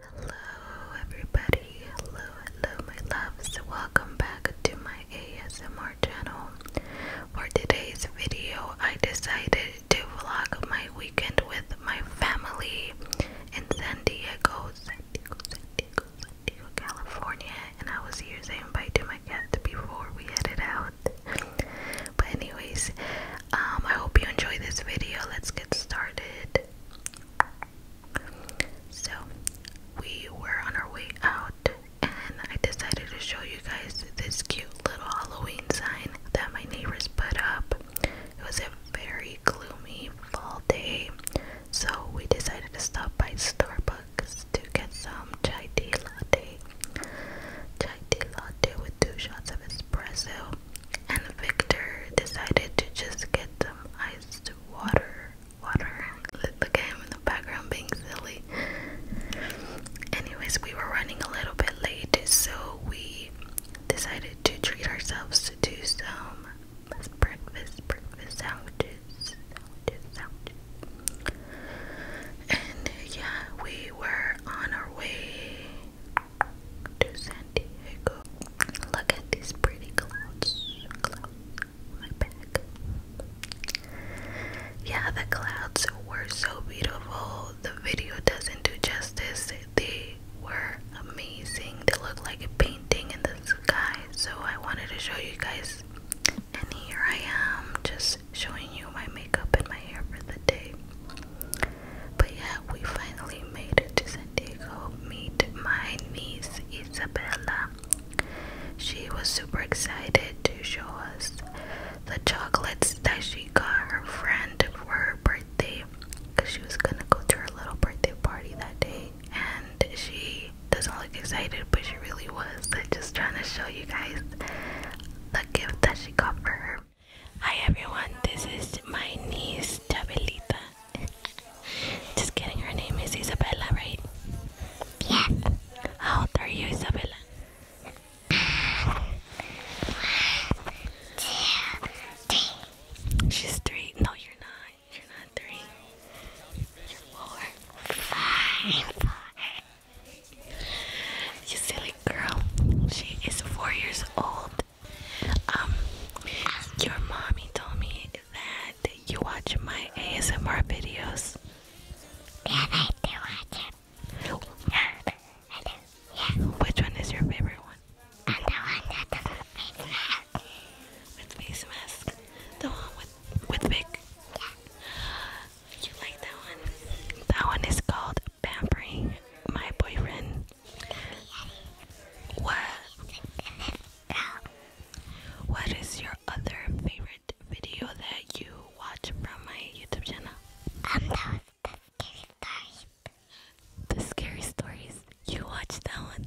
Hello, everybody. Hello, hello, my loves. Welcome back to my ASMR channel. For today's video, I decided to vlog my weekend with my family in San Diego. Diego, California, and I was here to invite my cat before we headed out. But anyways, um, I hope you enjoy this video. Let's get started. So we were on our way out, and I decided to show you guys this cute little Halloween sign that my neighbors put up. It was a very gloomy fall day, so we decided to stop by Starbucks bucks to get some chai tea latte. Chai latte with two shots of espresso. And Victor decided to just get some iced water. Water. Look at him in the background being silly. Anyways, we were running a little bit late, so we decided to treat ourselves to some breakfast breakfast sandwiches and yeah, we were on our way to San Diego. Look at these pretty clouds. Clouds my back. Yeah, the clouds were so beautiful. The video doesn't do justice. They were amazing. They look like a painting in the sky. So I wanted to show you guys and here I am just showing you my makeup and my hair for the day. But yeah, we finally made it to San Meet my niece Isabella. She was super excited to show us the chocolates that she got her friend for her birthday because she was gonna go to her little birthday party that day and she doesn't look excited, but she really was. just trying to show you guys the gift that she got for her. Hi everyone, this is my niece Tabelita. just kidding, her name is Isabella, right? Yeah. How old are you, Isabella? one, two, three. She's three. No, you're not. You're not three. You're four. Five. You silly girl. She is four years old. Um, your mommy told me that you watch my ASMR videos. Yeah, I do watch it. Yeah, I do. Yeah. Which one is your favorite one? the one that doesn't make with face mask. The one with with big. You like that one? That one is called Pampering My Boyfriend. What? What is your other favorite video that you watch from my YouTube channel? Um, that was the scary stories. The scary stories. You watch that one?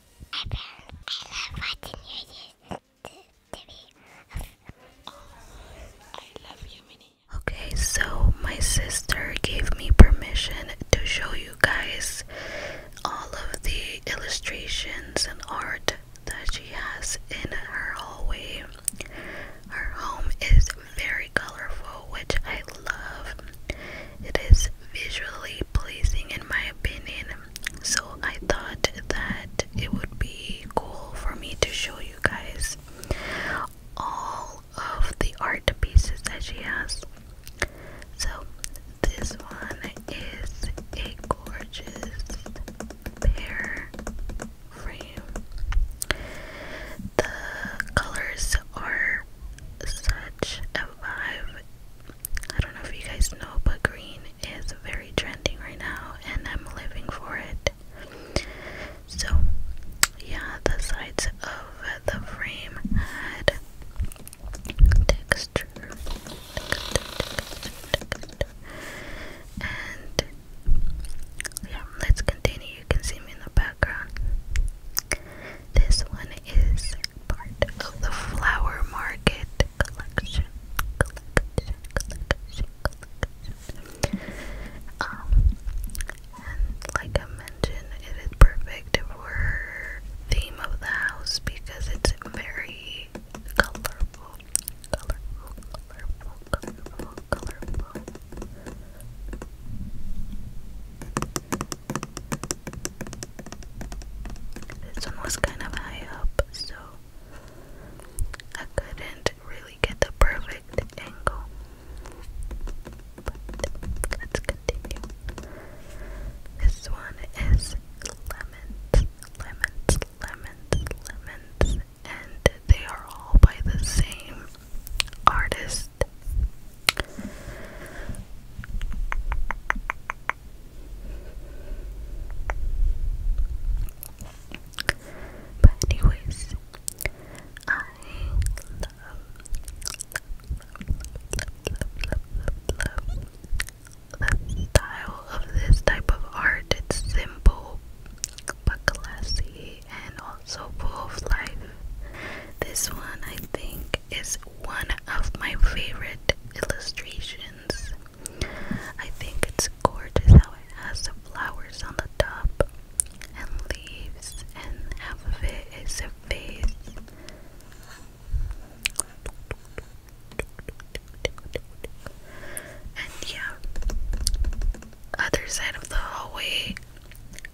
I love you use the, Okay, so my sister gave me permission to show you guys all of the illustrations and art that she has in her hallway. Her home is very colorful, which I love. It is visually pleasing, in my opinion so I thought that it would be cool for me to show you guys all of the art pieces that she has. So this one is a gorgeous pear frame. The colors are such a vibe I don't know if you guys know, but green is very trending right now, and I'm living for it. So, yeah, the sides of the frame had texture, and yeah, let's continue. You can see me in the background. This one is part of the Flower Market collection. Um, like I mentioned, it is perfect for theme of the house because it's very colorful. This one was kind of high up, so I couldn't really get the perfect angle. let's continue. This one is lemons, lemons, lemons, lemons, and they are all by the same artist. But anyways, I love, the style of this type of art. It's simple but classy and also full of life. This one I think is one of my favorite illustrations. I think it's gorgeous how it has the flowers on the top and leaves, and half of it is a face. And yeah, other side of the hallway.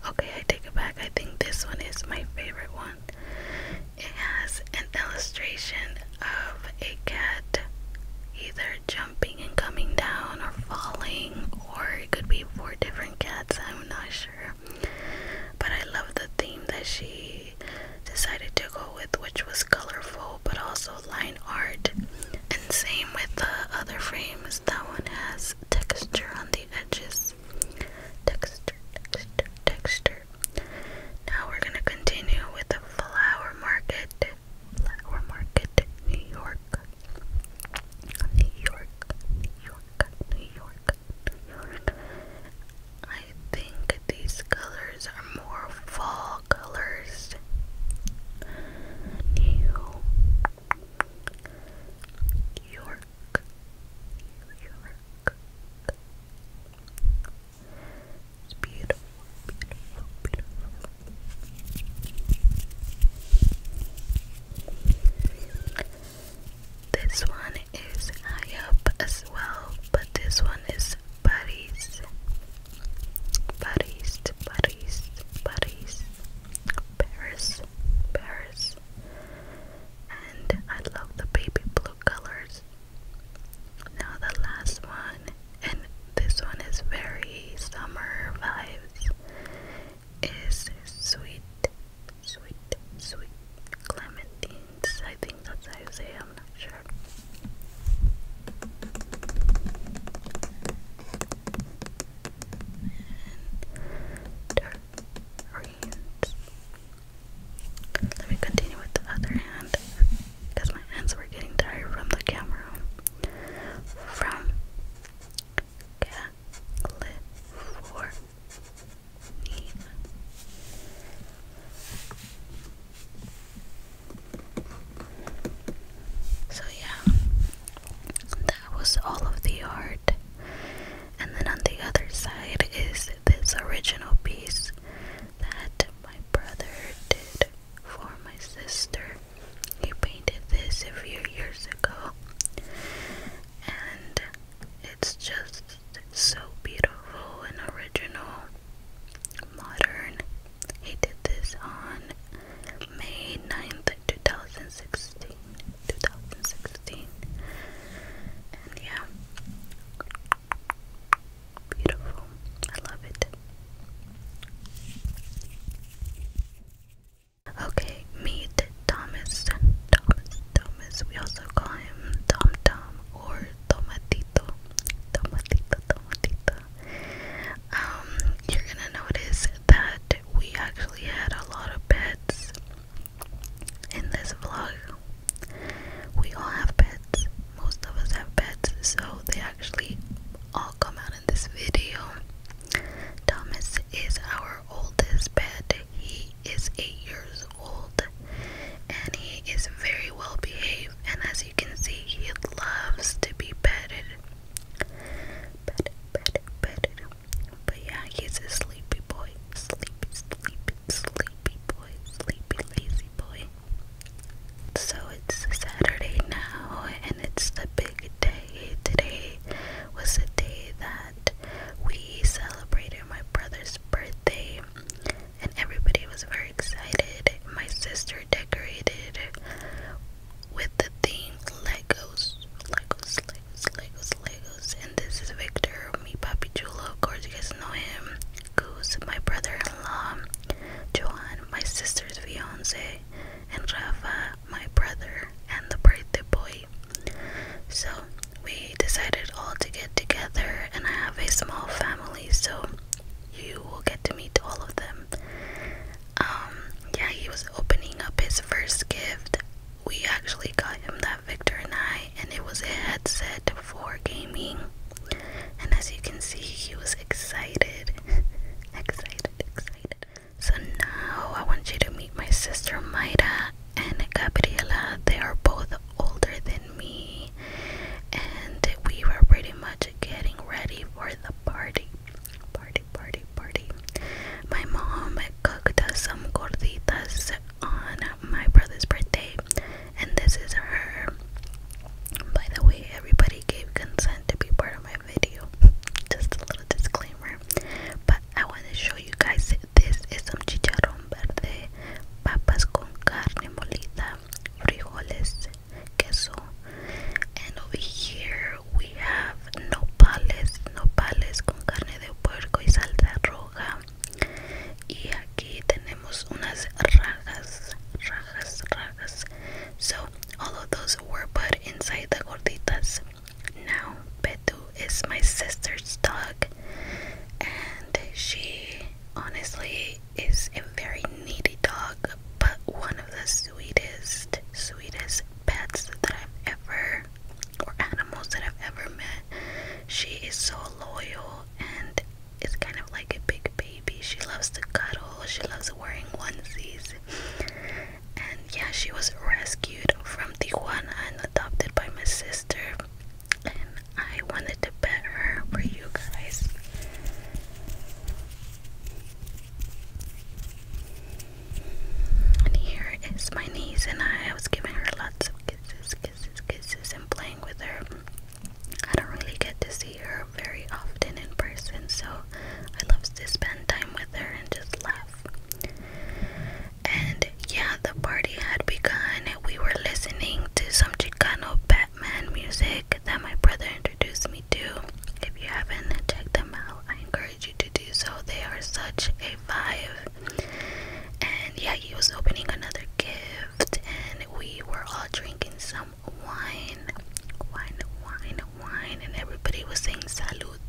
Okay, I take it back. I think this one is my favorite one. It has an illustration of a cat either jumping and coming down or falling, or it could be four different cats, I'm not sure. But I love the theme that she decided to go with, which was colorful but also line art. And same with the other frames, that one has texture on the edges. Texture, texture, texture. Now we're going to continue with the flower market. Flower market, New York. New York, New York, New York, New York. I think these colors are more fall colors. New York, it's beautiful, This one is high up as well, but this one is Paris. Paris, Paris, Paris, Paris, Paris and I love the baby blue colors. Now the last one, and this one is very summer vibes, is sweet, sweet, sweet clementines. I think that's how you say it, I'm not sure. Let me continue with the other hand because my hands were getting tired from the camera. From California. So, yeah, that was all of the art and then on the other side is this original piece that my brother did for my sister. He painted this a few years ago, and it's just so beautiful and original, modern. He did this on May 9th, 2016. 2016 yeah, beautiful. I love it. Okay, meet Thomas. Thomas, Thomas. We also call him Tom Tom or Tomatito. Tomatito, Tomatito. Um, you're gonna notice that we actually had a lot of pets in this vlog. We all have beds. Most of us have beds, so they actually all come out in this video. Thomas is our oldest bed. He is 8 years old and he is very well behaved and as you can see he loves to be petted. petted. But yeah, he's a sleepy boy. Sleepy, sleepy, Sleepy Boy, Sleepy Lazy Boy. So it's Saturday now, and it's the big day. Today was the day that we celebrated my brother's birthday, and everybody was very excited. My sister decorated with the theme Legos, Legos, Legos, Legos, Legos, and this is Victor, me, papi chulo. Of course, you guys know him. Goose, my brother-in-law. Joan, my sister's fiance, and Rafa, my brother, and the birthday boy. So we decided all to get together, and I have a small family, so you will get to meet all of them. Um, yeah, he was opening up his first gift we actually got him that Victor and I, and it was a headset for gaming. And as you can see, he was excited, excited, excited. So now I want you to meet my sister Mayra and Gabriela. They are both older than me, and we were pretty much getting ready for the party. Party, party, party. My mom cooked us some gorditas on my brother's birthday, and this is her. By the way, everybody gave consent to be part of my video. Just a little disclaimer. But I want to show you guys this is some chicharrón verde, papas con carne molida, frijoles, queso. And over here we have nopales, nopales con carne de puerco y salsa roja, so all of those were put inside the gorditas now Betu is my sister's dog and she honestly is a very needy dog but one of the sweetest sweetest pets that I've ever or animals that I've ever met. She is so loyal and is kind of like a big baby. She loves to cuddle, she loves wearing onesies. And yeah, she was rescued from Tijuana and adopted by my sister. And I wanted to pet her for you guys. And here is my niece, and I, I was giving her lots of kisses, kisses, kisses, and playing with her. I don't really get to see her very often in person, so I love to spend time with her and just laugh. And yeah, the party had begun. We were listening to some Chicano Batman music that my brother introduced me to. If you haven't checked them out, I encourage you to do so. They are such a vibe and yeah he was opening another gift and we were all drinking some wine wine wine wine and everybody was saying salud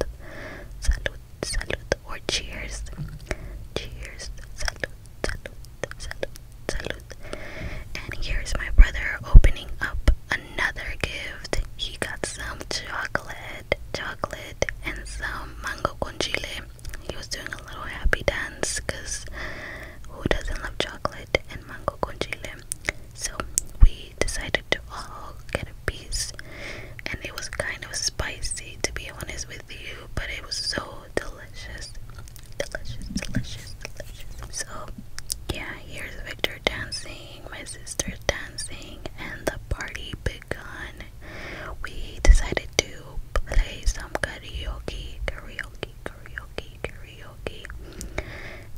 salud salud or cheers cheers salud salud salud salud and here's my brother opening up another gift he got some chocolate chocolate and some mango con chile he was doing a little happy dance because who doesn't love chocolate and mango con So we decided to all get a piece, and it was kind of spicy to be honest with you, but it was so delicious. Delicious, delicious, delicious. So, yeah, here's Victor dancing, my sister dancing, and the party we decided to play some karaoke, karaoke, karaoke, karaoke.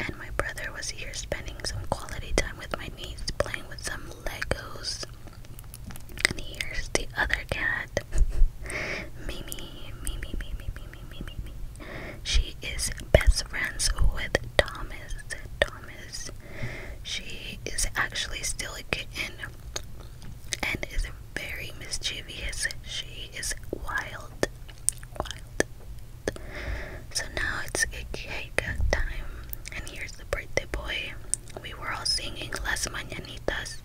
And my brother was here spending some quality time with my niece, playing with some Legos. And here's the other cat, Mimi, Mimi, Mimi, Mimi, Mimi, Mimi. She is best friends with Thomas. Thomas. She is actually still a kitten and is very mischievous. She is wild. Wild. So now it's cake time. And here's the birthday boy. We were all singing Las Mañanitas.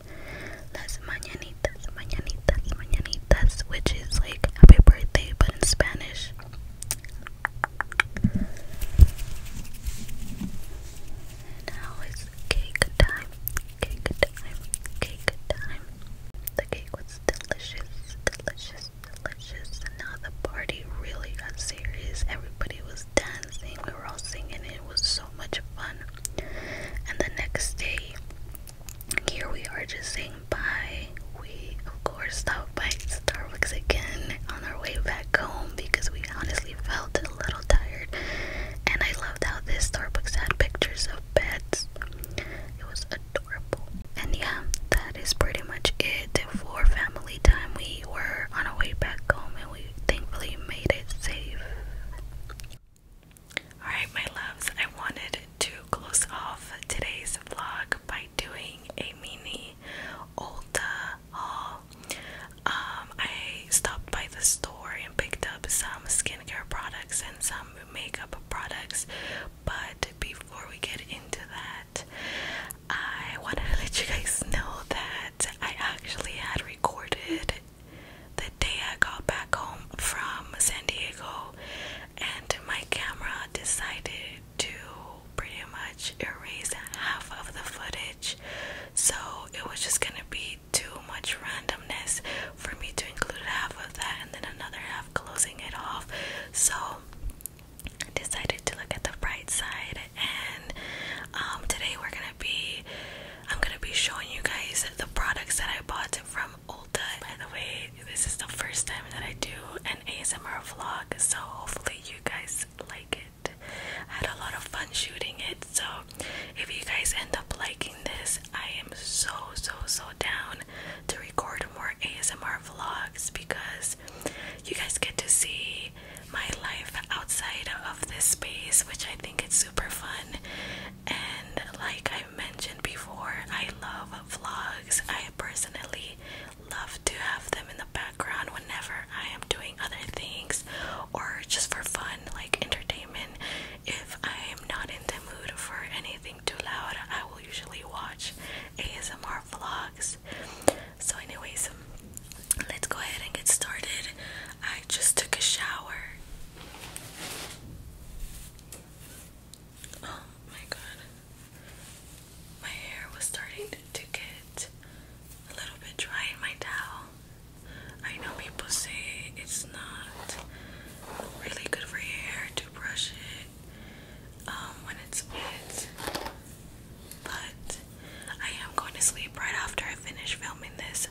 Las Mañanitas, Mañanitas, Mañanitas, which is like happy birthday but in Spanish now it's cake time. Cake time. Cake time. The cake was delicious, delicious, delicious. And now the party really got serious. Everybody was dancing. We were all singing. It was so much fun. And the next day, here we are just saying bye. We, of course, stopped by Starbucks again on our way back home because we honestly felt a little tired. And I loved how this Starbucks had pictures of beds. It was adorable. And yeah, that is pretty much it for family time. We were on our way back home and we thankfully made it safe. Alright, my loves, I wanted to close off today's vlog by doing a mini Ulta haul. Um, I stopped by the store and picked up some skincare products and some makeup products, but before we get into that, I wanted to let you guys know that I actually had recorded the day I got back home from San Diego, and my camera decided to pretty much erase half of the footage so it was just gonna be too much randomness for me to include half of that and then another half closing it off. So I decided to look at the bright side, and um, today we're gonna be. I'm gonna be showing you guys the products that I bought from Ulta. By the way, this is the first time that I do an ASMR vlog, so hopefully you guys like it. I had a lot of fun shooting it. So if you guys end up liking this, I am so so so down to record more ASMR vlogs because you guys get to see my life outside of this space, which I think it's super fun. And like I mentioned before, I love vlogs. I personally love to have them in the whenever I am doing other things or just for fun, like entertainment. If I am not in the mood for anything too loud, I will usually watch ASMR vlogs. So, anyways, um, let's go ahead and get started. I just took a shower. Oh my god. My hair was starting to get a little bit dry my towel. I know people say it's not really good for your hair to brush it um, when it's wet, but I am going to sleep right after I finish filming this.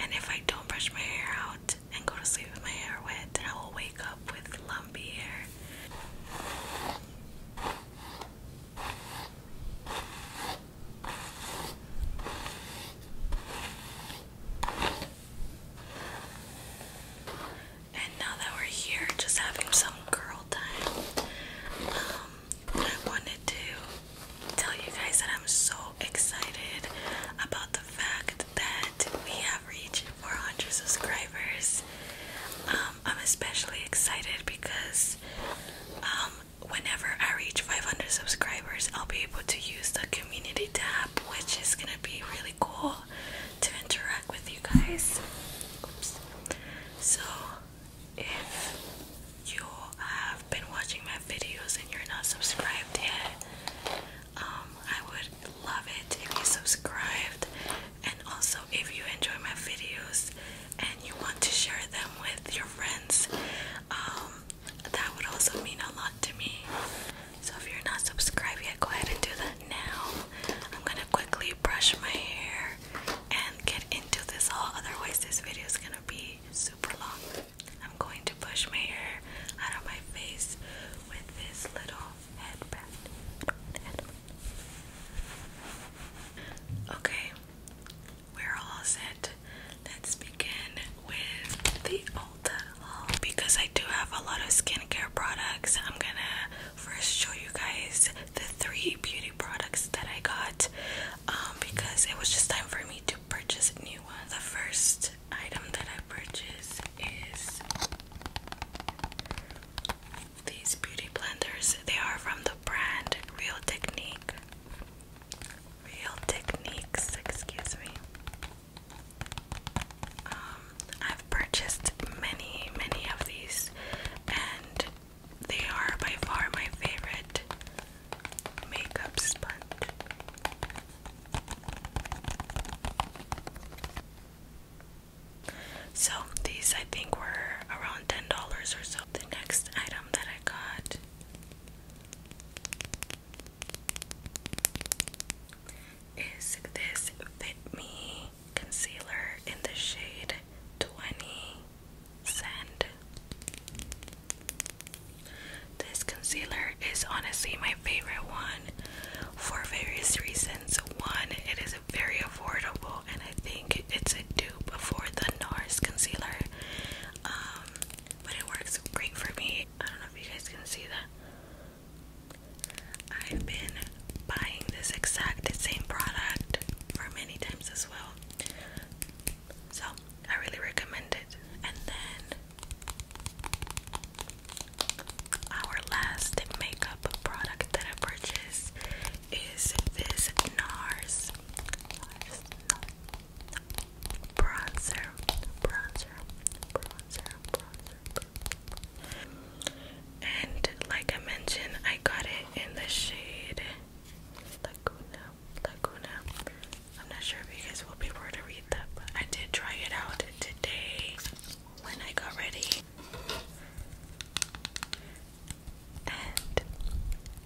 And if I don't brush my hair out and go to sleep with my hair wet, then I will wake up with lumpy hair. And now that we're here, just having some girl time, um, I wanted to tell you guys that I'm so excited about the fact that we have reached 400 subscribers. Um, I'm especially excited because um, whenever I reach 500 subscribers, I'll be able to use the community tab, which is gonna be really cool to interact with you guys. So, if you have been watching my videos and you're not subscribed yet, um, I would love it if you subscribed. And also, if you enjoy my videos, and you want to share them with your friends, um, that would also mean a lot to me. So if you're not subscribed yet, go ahead and do that now. I'm gonna quickly brush my hair and get into this haul, otherwise this video is gonna be super long. I'm going to push my hair out of my face with this little headband. Okay, we're all set. Let's begin with the Ulta haul. Because I do have a lot of skincare products, I'm gonna first show you guys the three beauty products that I got um, because it was just time for me to purchase new one. The first item that I purchased is these beauty blenders. They are from the brand Real Technique. Real Techniques, excuse me. Um, I've purchased many, many of these, and they are by far my favorite makeup sponge. So, these I think were around ten dollars or so. The next item that I got is this Fit Me concealer in the shade 20 Sand. This concealer is honestly my favorite one for various reasons. One, it is very affordable and I think it's a dupe for the NARS concealer. Um, but it works great for me. I don't know if you guys can see that. I've been buying this exact same product for many times as well. So I really recommend it. And then our last makeup product that I purchased is this NARS Bronzer, bronzer, bronzer, bronzer. And like I mentioned, I got it in the shade Laguna, Laguna. I'm not sure if you guys will be able to read that, but I did try it out today when I got ready and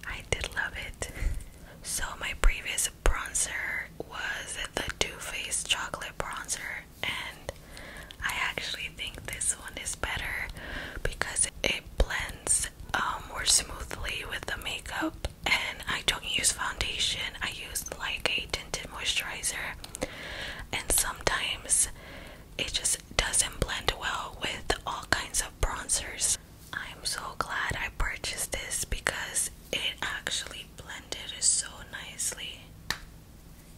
I did love it. So, my previous bronzer was the Too Faced Chocolate Bronzer, and I actually think this one is better because it blends um, more smoothly with the makeup. And I don't use foundation, I use like a tinted moisturizer, and sometimes it just doesn't blend well with all kinds of bronzers. I'm so glad I purchased this because it actually blended so nicely.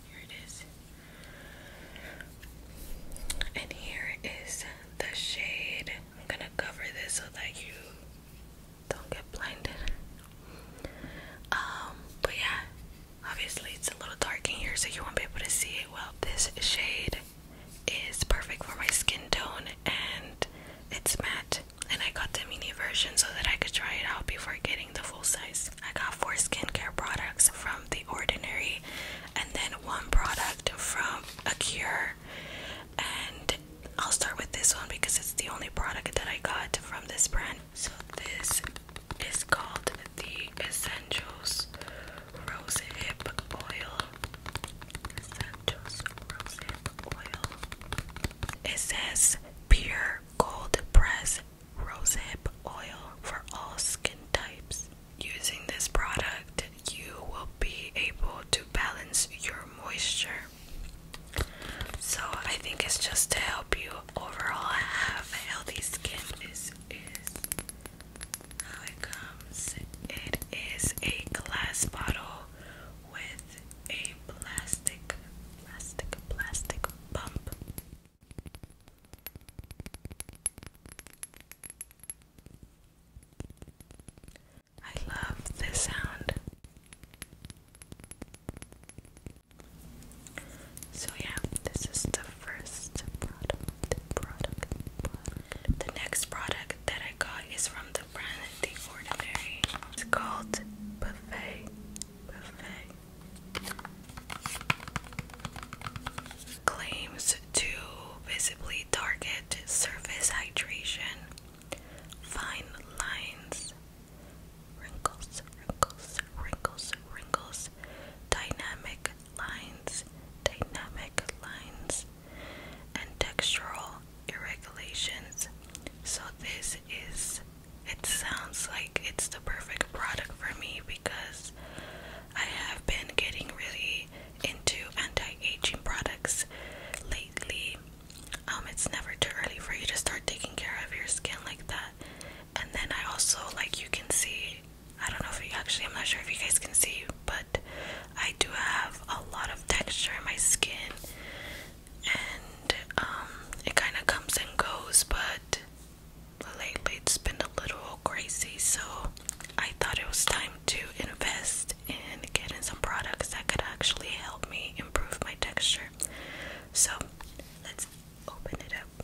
Here it is. And here is the shade. I'm gonna cover this so that you don't get blinded. Um, but yeah, obviously it's a little dark in here so you won't be able to see it well. This shade is perfect for my skin tone and it's matte. And I got the mini version so that I could try it out before getting the full size. I got four skincare products from The Ordinary and then one product from A Cure. And I'll start with this one because it's the only product that I got from this brand. So this is called the Essentials Rose Hip Oil. It says pure gold press rose hip oil for all skin types. Using this product, you will be able to balance your moisture. So, I think it's just to help you overall have a healthy skin. This is how it comes. It is a glass bottle with a plastic, plastic, plastic bump. I love this sound. So yeah, this is the first product, the next product that I got is from the brand The Ordinary. It's called Buffet. Buffet. Claims to visibly target surface hydration, fine lines, wrinkles, wrinkles, wrinkles, wrinkles, dynamic lines, dynamic lines, and textural irregulations. So this is it sounds like it's the perfect product for me because I have been getting really into anti-aging products lately. Um, it's never too early for you to start taking care of your skin like that. And then I also like you can see I don't know if you actually, I'm not sure if you guys can see, but I do have a lot of texture in my skin, and um, it kind of comes and goes, but lately it's been a little crazy, so I thought it was time to invest in getting some products that could actually help me improve my texture. So let's open it up.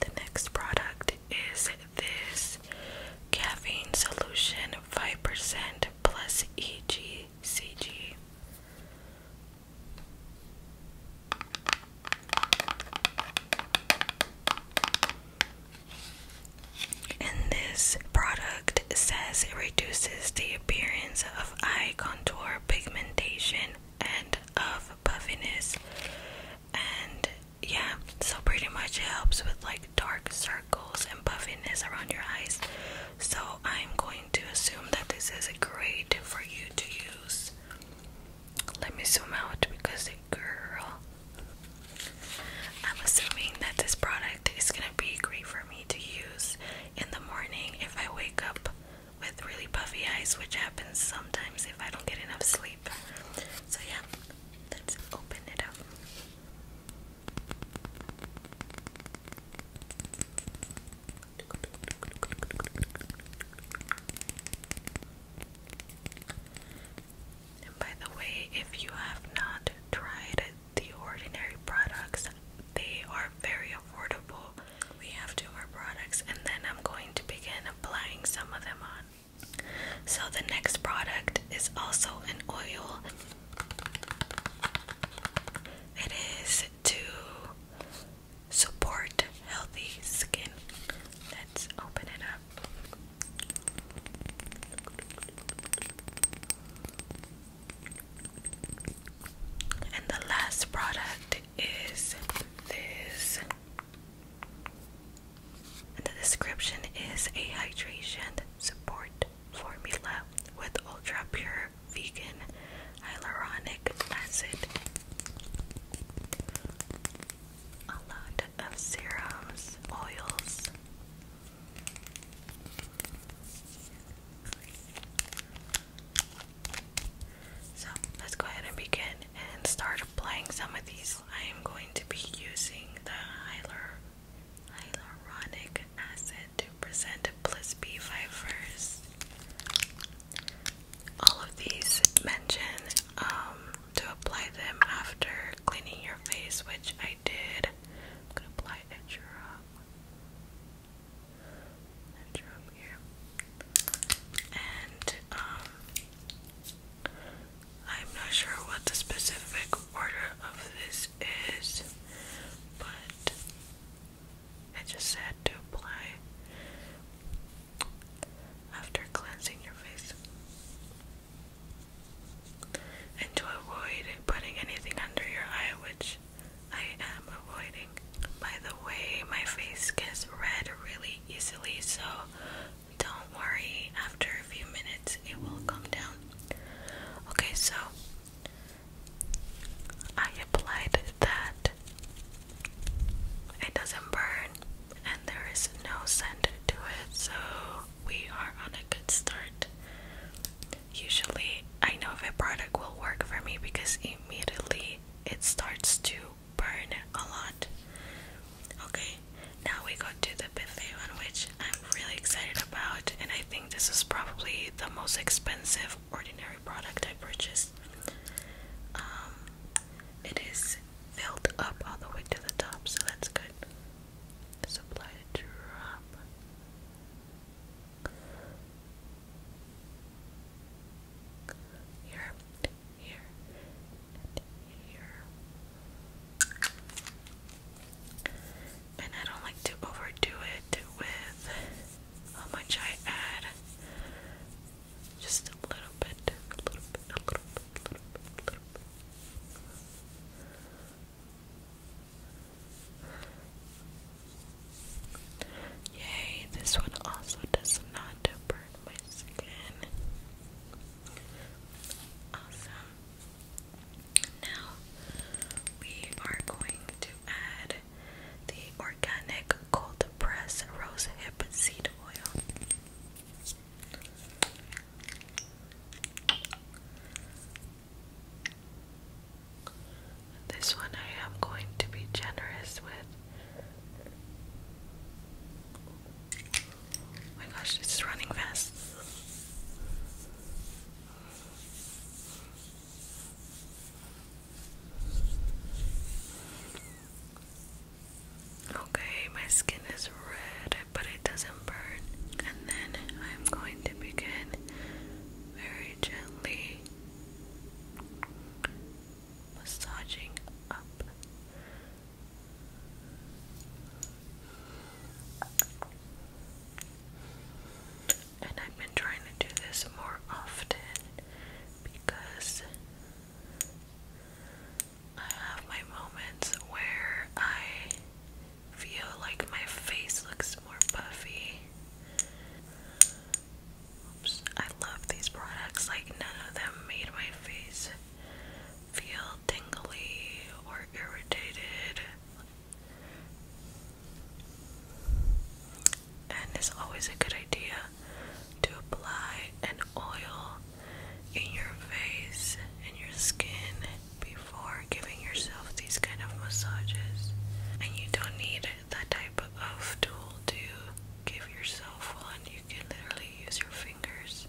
The next product is this caffeine solution 5% plus EGCG. And this product says it reduces the appearance of eye contour pigmentation and of puffiness and yeah, so pretty much it helps with like dark circles and puffiness around your eyes. So I'm going to assume that this is great for you to use. Let me zoom out because girl. I'm assuming that this product is gonna be great for me to use in the morning if I wake up with really puffy eyes, which happens sometimes if I don't get enough sleep. So yeah. Let's open it up. by the way, if you have not tried the ordinary products, they are very affordable. We have two more products, and then I'm going to begin applying some of them on. So the next product is also an oil. It is to support healthy skin. Let's open it up. And the last product is this and the description is a hydration support formula with ultra pure vegan hyaluronic acid, a lot of serums, oils. So let's go ahead and begin and start applying some of these I am going to be using the hyaluronic acid to present Bliss B5 first. All of these mention um, to apply them after cleaning your face, which I did. I'm gonna apply a drop, a drop here, and um, I'm not sure what the specific order of this is, but I just said to apply after cleansing your face. And to avoid putting anything under your eye, which I am avoiding. By the way, my face gets red really easily, so don't worry, after a few minutes it will come down. Okay, so I applied that. It doesn't burn and there is no scent to it, so we are on a good start. Usually, I know if a product will work for me because immediately it starts to burn a lot. Okay, now we go to the buffet one, which I'm really excited about, and I think this is probably the most expensive ordinary product I purchased. Um, it is filled up all the way to the top, so that's good. Supply drop. Here, here, here. And I don't like to overdo it with how much I add. Just a little bit, a little bit, a little bit, a little bit, a little bit. Yay, this one also does not burn my skin. Awesome. Now we are going to add the organic cold press rose seed oil. This one I am going to be generous with. Oh my gosh, it's running fast. Okay, my skin is red, but it doesn't burn. And then I'm going to begin very gently massaging up and I've been trying to do this more often because I have my moments where I feel like my face looks more puffy. Oops, I love these products. Like, none of them made my face feel tingly or irritated and it's always a good idea to apply an oil in your face and your skin before giving yourself these kind of massages and you don't need that type of tool to give yourself one you can literally use your fingers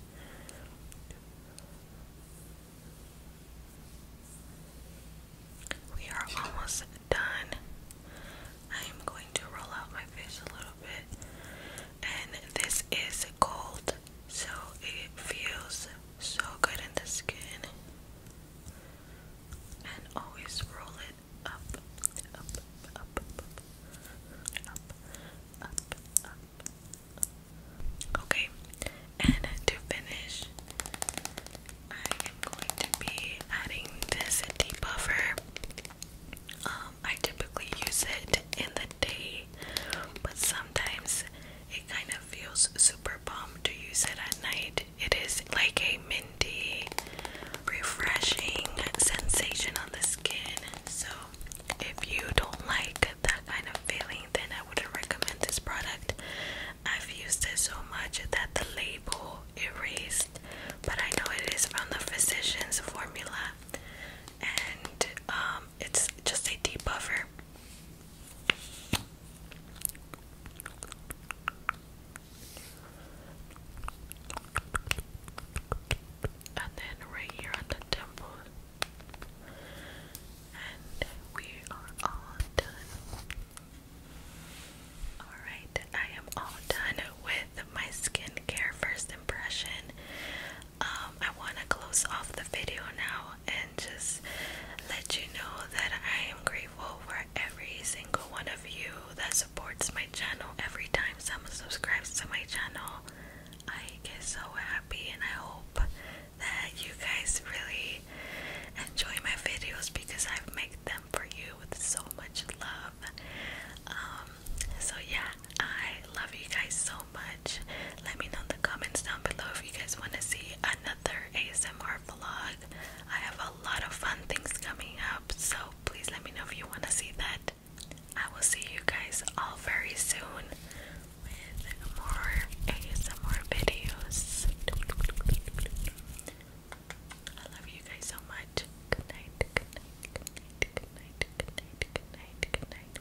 we are almost done. I am going to roll out my face a little bit, and this is cold, so it feels so good in the skin. And always roll it up, up, up, up, Okay, and to finish, I am going to be adding this debuffer. Um, I typically use it in the day, but sometimes it kind of feels super bomb to use it at night. It is like a minty, refreshing sensation on the skin. So if you don't like that kind of feeling, then I wouldn't recommend this product. I've used it so much that the label erased, but I know it is from the physician's formula, and um, it's just a debuffer and then right here on the temple. And we are all done. Alright, I am all done with my skincare first impression. Um, I want to close off the video now and just let you know that I am grateful for every single one of you that supports my channel every time someone subscribes to my channel. I get so happy and I hope that you guys really enjoy my videos because I make them for you with so much love. Um, so yeah, I love you guys so much. Let me know in the comments down below if you guys want to see another ASMR vlog. I have a lot of fun things coming up, so please let me know if you want to see that. I will see you guys all very soon with more ASMR videos. I love you guys so much. good night, good night, good night, good night, good night. Good night.